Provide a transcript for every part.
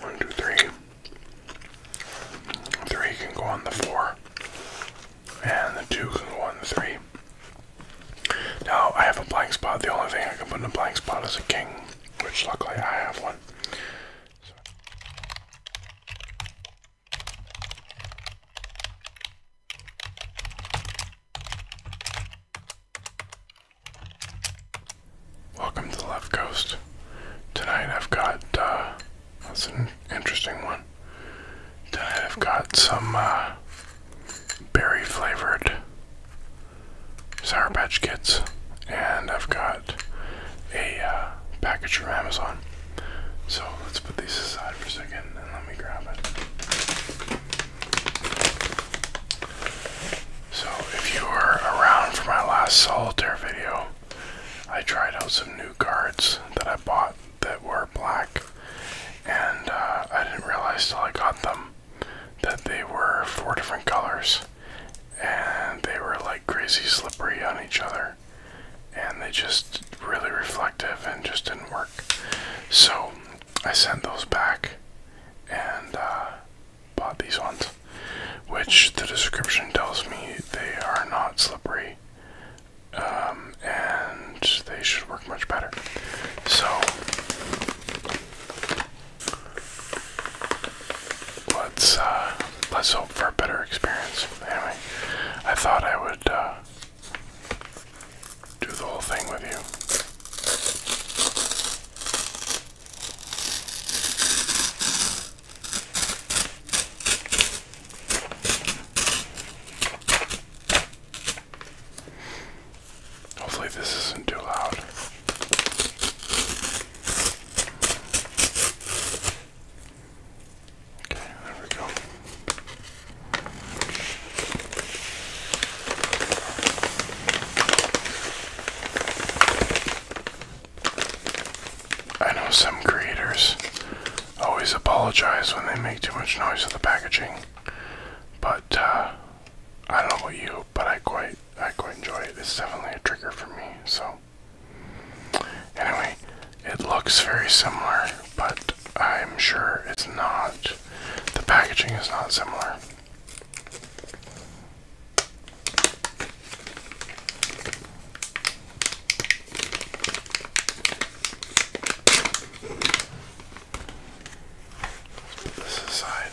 One, two, three. Three can go on the four. And the two can go on the three. Now I have a blank spot. The only thing I can put in a blank spot is a king, which luckily I have one. Welcome to the Left Coast. Tonight I've got, uh, that's an interesting one. Tonight I've got some, uh, berry flavored Sour Patch Kids. And I've got a, uh, package from Amazon. So let's put these aside for a second and let me grab it. So, if you were around for my last solitaire video, I tried out some new cards that I bought that were black, and uh, I didn't realize till I got them that they were four different colors, and they were like crazy slippery on each other, and they just really reflective and just didn't work. So, I sent those back and uh, bought these ones, which the description tells me they are not slippery um, and they should work much better. So let's uh, let's hope for a better experience. Anyway, I thought I would uh, do the whole thing with you. Hopefully, this isn't too loud. Okay, there we go. I know some creators always apologize when they make too much noise with the packaging, but uh, I don't know about you, but I quite I quite enjoy it. It's definitely a trigger for me. So anyway, it looks very similar, but I'm sure it's not, the packaging is not similar. Put this aside.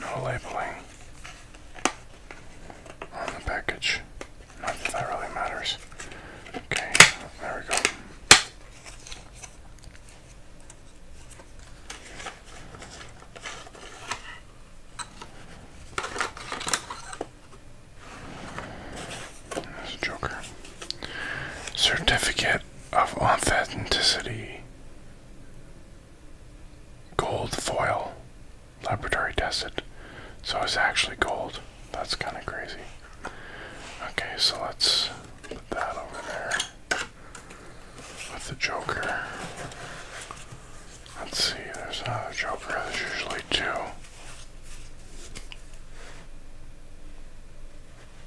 No labeling on the package. Not that that really matters. Okay, there we go. There's joker. Certificate of authenticity. Gold foil. Laboratory tested. So it's actually gold. That's kind of crazy. Okay, so let's put that over there with the Joker. Let's see, there's another Joker. There's usually two.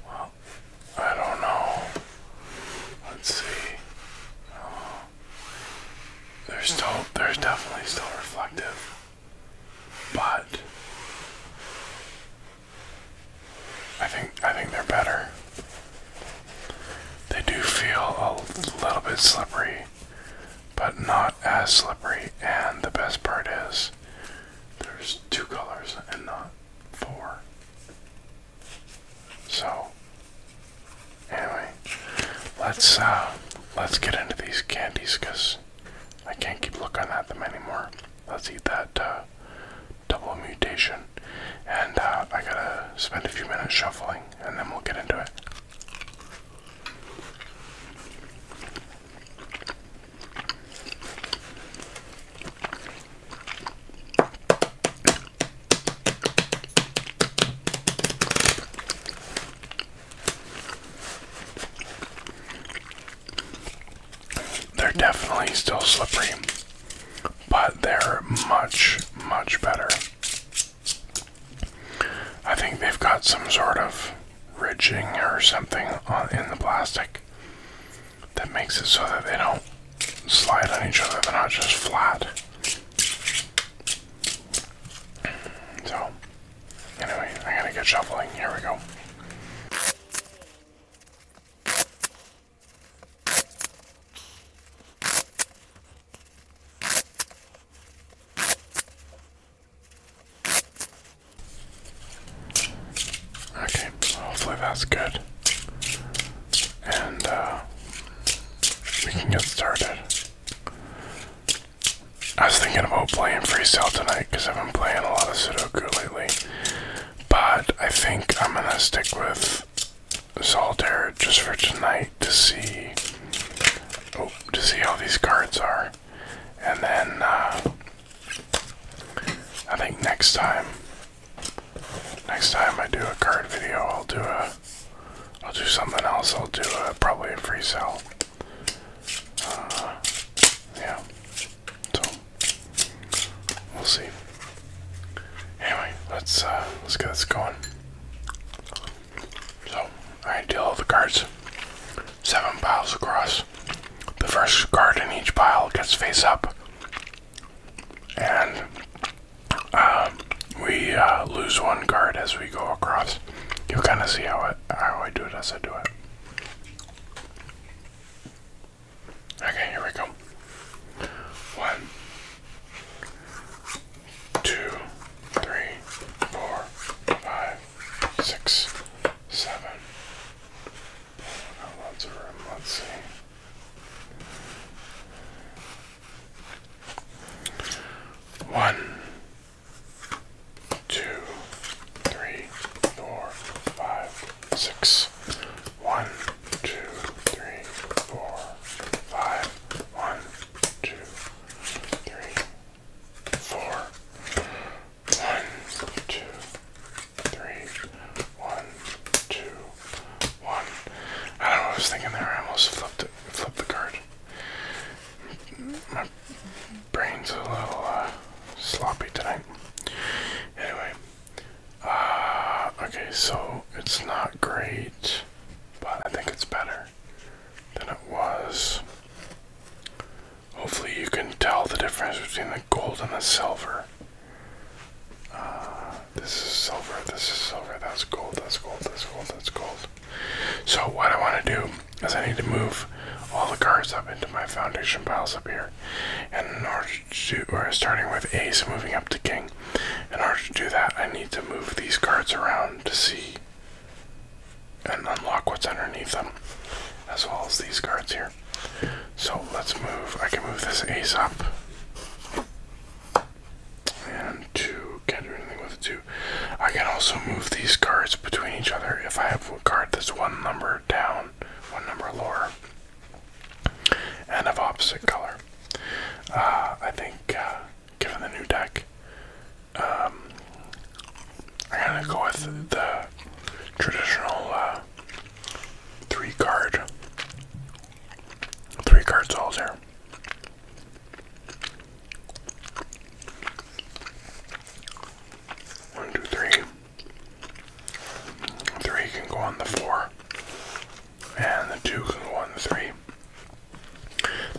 Well, I don't know. Let's see. Uh, they're still, they're definitely still reflective, but I think I think they're better. They do feel a little bit slippery, but not as slippery. And the best part is, there's two colors and not four. So anyway, let's uh, let's get into these candies because I can't keep looking at them anymore. Let's eat that uh, double mutation. And uh, I gotta spend a few minutes shuffling and then we'll get into it. They're definitely still slippery, but they're much, much better. I think they've got some sort of ridging or something in the plastic that makes it so that they don't slide on each other, they're not just flat. So, anyway, I gotta get shoveling. Here we go. Okay, hopefully that's good and uh, we can get started. I was thinking about playing freestyle tonight because I've been playing a lot of Sudoku lately, but I think I'm gonna stick with Solitaire just for tonight to see, oh, to see how these cards are, and then uh, I think next time Next time I do a card video, I'll do a, I'll do something else. I'll do a, probably a free sell. Uh, yeah. So we'll see. Anyway, let's uh, let's get this going. So I deal the cards, seven piles across. The first card in each pile gets face up and um, we uh, lose one card as we go across. You'll kind of see how I, how I do it as I do it. Okay, here we go. One, two, three, four, five, six, seven, let's see. One, two, three, four, five, six. One, two, three, four, five. One, two, three, four. One, two, three, one, two, one. I don't know what I was thinking there. I almost flipped it, flipped the card. My brain's a little uh, sloppy tonight. Anyway, uh, okay, so it's not great, but I think it's better than it was. Hopefully, you can tell the difference between the gold and the silver. Uh, this is silver, this is silver, that's gold, that's gold, that's gold, that's gold. So, what I want to do is I need to move all the cards up into my foundation piles up here. And in order to, or starting with ace, moving up to king. In order to do that, I need to move these cards around to see and unlock what's underneath them, as well as these cards here. So let's move. I can move this ace up. And two. Can't do anything with two. I can also move these cards between each other if I have a card that's one number down, one number lower, and of opposite color. Uh, I think, uh, given the new deck, um, I'm gonna go with the traditional uh, Three card. Three cards all there. One, two, three. Three can go on the four. And the two can go on the three.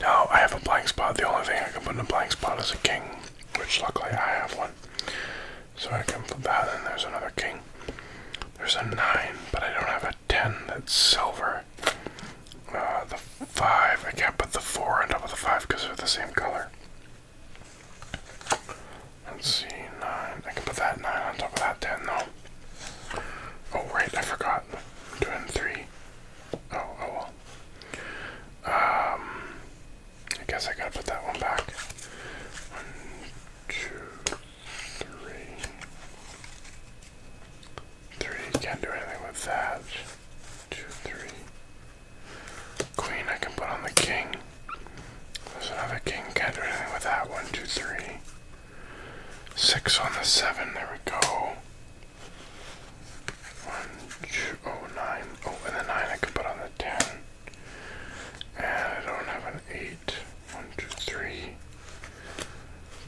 Now I have a blank spot. The only thing I can put in a blank spot is a king, which luckily I have one. So I can put that and there's another king. There's a nine, but I don't have a ten that's silver. Uh, the five, I can't put the four on top of the five because they're the same color. Let's see, nine. I can put that nine on top of that ten though. Oh right, I forgot. Two and three. Oh, oh well. Um I guess I gotta put that one back. One, three. Three, can't do anything with that. Two, three. Queen, I can put on the king. There's another king, can do anything with that. One, two, on the seven, there we go. One, two, oh, nine. Oh, and the nine I can put on the ten. And I don't have an eight. One, two, three.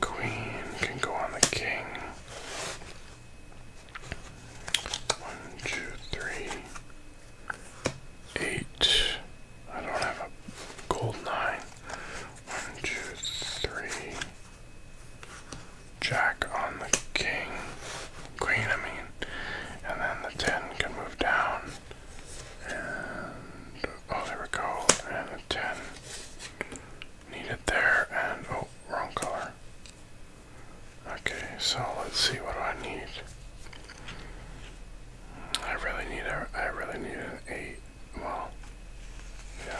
Queen can go on the king. One, two, three. Eight. I don't have a gold nine. One, two, three jack on the king, queen, I mean, and then the 10 can move down. And oh, there we go. And a 10 needed there. And oh, wrong color. Okay, so let's see what do I need. I really need a. I really need an eight. Well, yeah,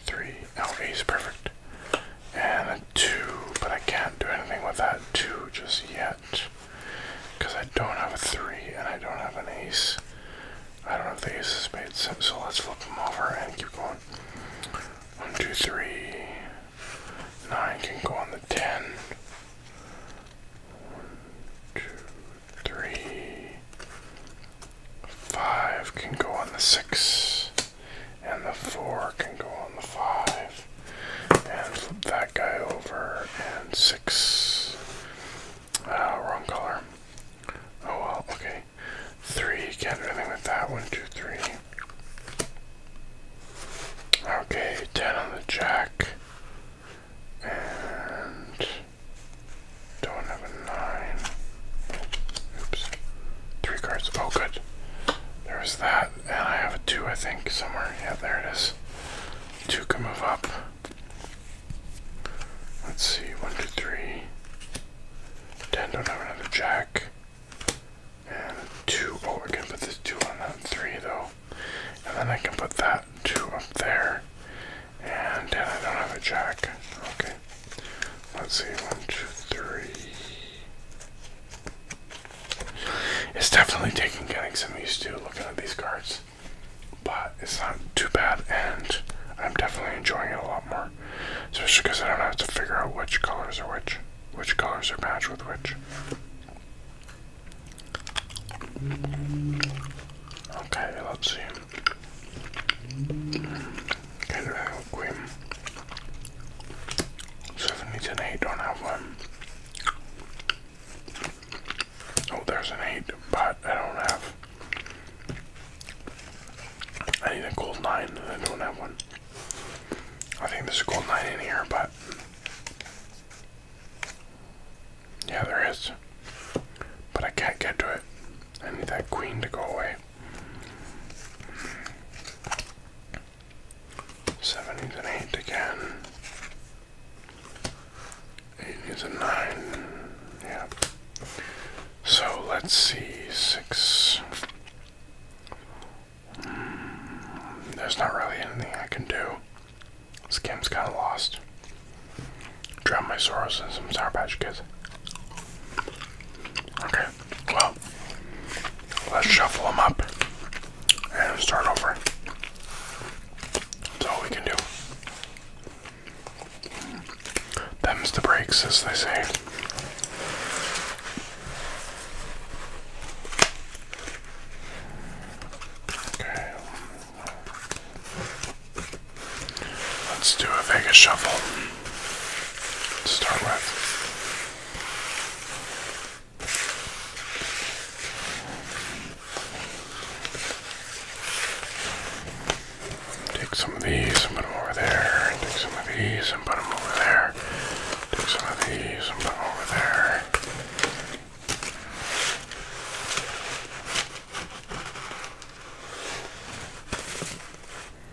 three. Okay, he's perfect. And a 2, but I can't do anything with that 2 just yet. Because I don't have a 3 and I don't have an ace. I don't have the ace is made sense, so let's flip them over and keep going. One, two, 2, 3. 9 can go on the 10. 2, 3. 5 can go on the 6 and the four can go on the five, and flip that guy over, and six. Uh, wrong color. Oh well, okay. Three, can't do anything with that. One, two, three. Okay, ten on the jack. And don't have a nine. Oops. Three cards. Oh, good. There's that, and I have a two, I think, somewhere. Yeah, there it is. Two can move up. Let's see, one, two, three. Ten don't have another jack. And two. Oh, I can put this two on that three though. And then I can put that two up there. And ten I don't have a jack. Okay, Let's see, one, two, three. It's definitely taking getting some used to looking at these cards, but it's not too bad, and I'm definitely enjoying it a lot more. Especially because I don't have to figure out which colors are which, which colors are matched with which. Okay, let's see. Get rid of Grim. Seven needs an eight, don't have one. Oh, there's an eight, but I don't have. I need a gold nine, I don't have one. I think there's a gold nine in here, but. Yeah, there is. But I can't get to it. I need that queen to go away. Sevens and eight again. Eight is a nine. Yeah. So let's see. Six. there's not really anything I can do. This game's kind of lost. Drown my sorrows in some Sour Patch Kids. Okay, well, let's shuffle them up and start over. That's all we can do. Them's the breaks, as they say. Okay. Let's do a Vegas shuffle. To start with. Take some of these and put them over there. Take some of these and put them over there. Take some of these and put them over there.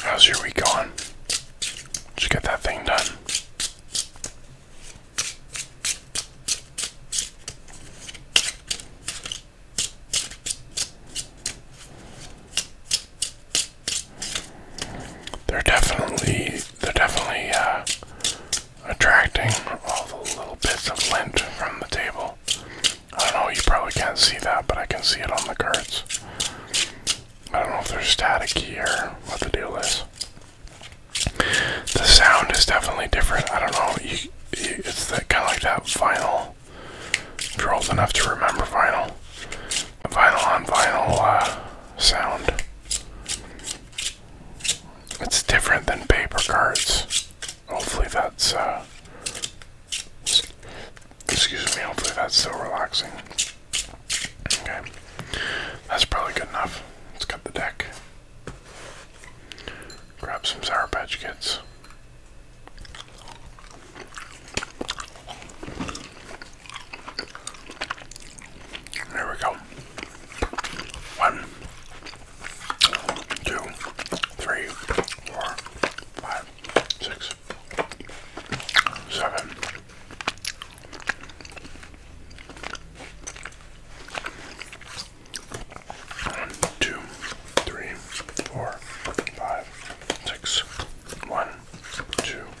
How's your week going? Did you get that thing done? There definitely they're definitely uh, attracting all the little bits of lint from the table. I don't know, you probably can't see that, but I can see it on the cards. I don't know if they're staticky or what the deal is. The sound is definitely different. I don't know, it's kind of like that vinyl. If you're old enough to remember vinyl, vinyl on vinyl uh, sound. It's different than paper cards. Hopefully that's, uh, excuse me, hopefully that's still relaxing. Okay, that's probably good enough. Let's cut the deck. Grab some Sour Patch Kids. There we go. One, two, three, four, five, six, seven. One, two, three, four, five, six. One, two,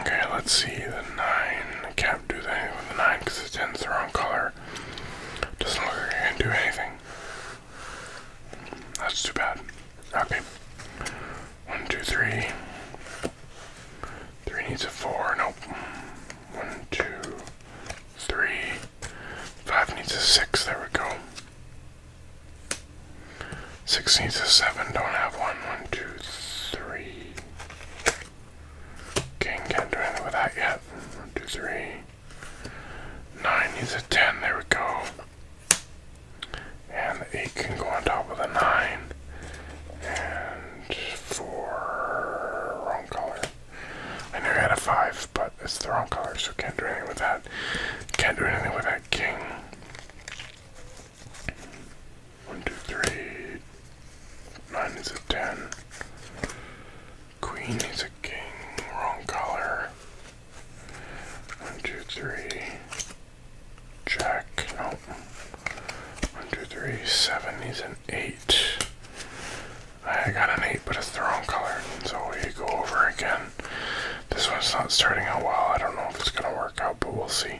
Okay, let's see the nine. I can't do anything with the nine because the ten's the wrong color. Doesn't look like I can do anything. That's too bad. Okay. One, two, three. Three needs a four. Nope. One, two, three. Five needs a six. There we go. Six needs a seven. Don't have one. One, two, three. King can't do anything with that yet. One, two, three. Nine needs a ten. There we go. And the eight can go on top of the nine. And four. Wrong color. I knew I had a five, but it's the wrong color, so can't do anything with that. Can't do anything with that king. One, two, three. Nine is a ten. Queen is a king. Wrong color. One, two, three. Jack. No. One, two, three. Seven is an eight. I got an eight, but it's the wrong color. So we go over again. This one's not starting out well. I don't know if it's going to work out, but we'll see.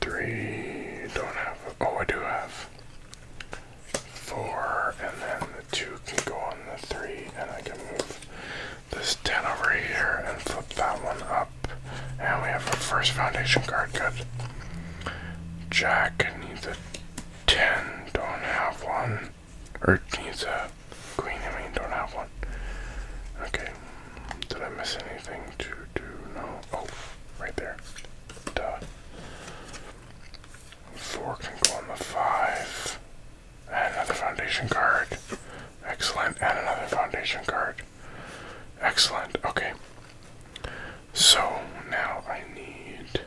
Three, don't have, oh, I do have four, and then the two can go on the three, and I can move this 10 over here and flip that one up. And we have our first foundation card, good. Jack needs a 10, don't have one. Or needs a queen, I mean, don't have one. Okay, did I miss anything to do? No. Oh, right there. Duh. Four can go on the five. And another foundation card. Excellent. And another foundation card. Excellent. Okay. So now I need.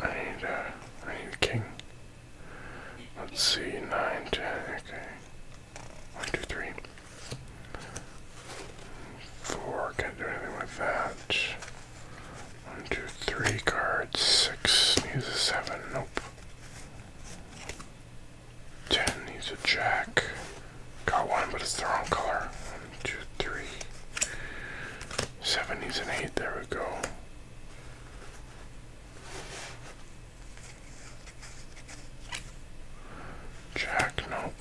I need a. Uh, I need a king. Let's see. Nine, ten. Okay. One, three. Four, can't do anything with that. One, two, three cards. Six needs a seven, nope. Ten needs a jack. Got one, but it's the wrong color. One, two, three. Seven needs an eight, there we go. Jack, nope.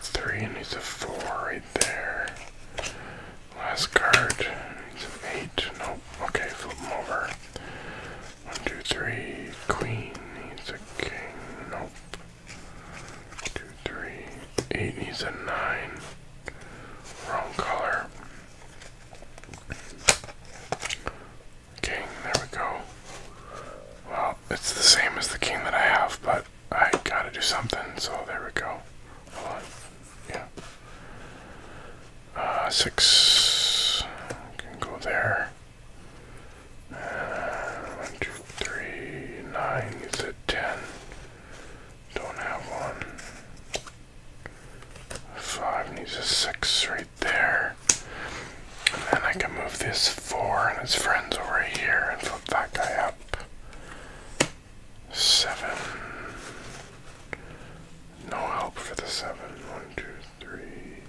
Three needs a four right there. Last card needs an eight. Nope. Okay, flip them over. One, two, three. Queen needs a king. Nope. Two, three. Eight needs a nine. Wrong color. Okay, there we go. Well, it's the same as the king that I have, but I gotta do something, so there we go. Yeah. Uh, six. Can go there. Uh, one, two, three, nine. You said ten. Don't have one five needs a six right there. And then I can move this four and its friends over here and flip that guy up. Seven. No help for the seven. One, two, three.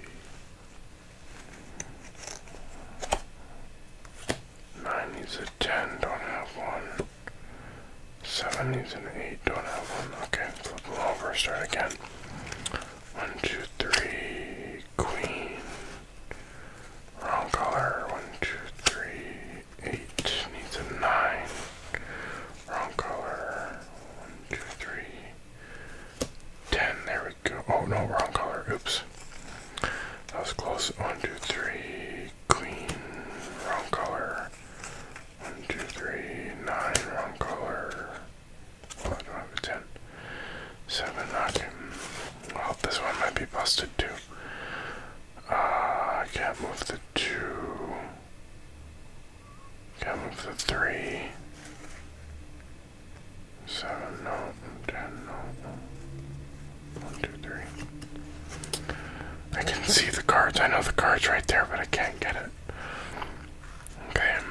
Nine needs a ten, don't have one. Seven needs an eight, don't have one. Okay, flip them over, start again. One, two, three, queen. Wrong color. One, two, three, eight. Needs a nine. Wrong color. One, two, three, ten. There we go. Oh no, wrong color. Oops. That was close. One, two, three, queen. Wrong color. One, two, three, nine, wrong color. Well, I do Seven, okay. Well, this one might be busted too. Ah, I can't move the two. Can't move the three. Seven, no. Ten, no. One, two, three. I can see the cards. I know the cards right there, but I can't get it. Okay.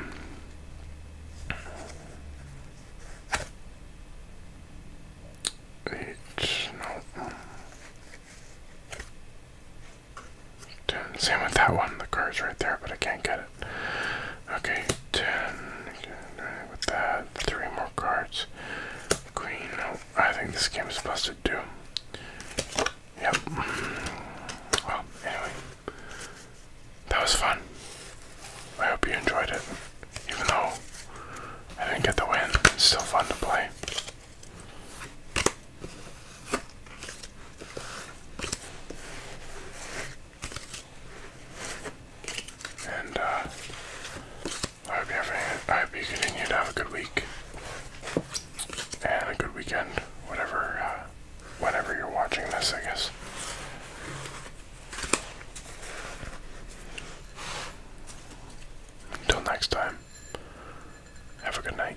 Eight, no. Ten. Same with that one. The card's right there, but I can't get it. Okay, ten. With that, three more cards. Queen, no. I think this game is busted too. Yep. Well, anyway. That was fun. I hope you enjoyed it. Even though I didn't get the win, it's still fun to play. And, uh, I hope you're having. I hope you continue to have a good week and a good weekend, whatever, uh, whenever you're watching this, I guess. Until next time, have a good night.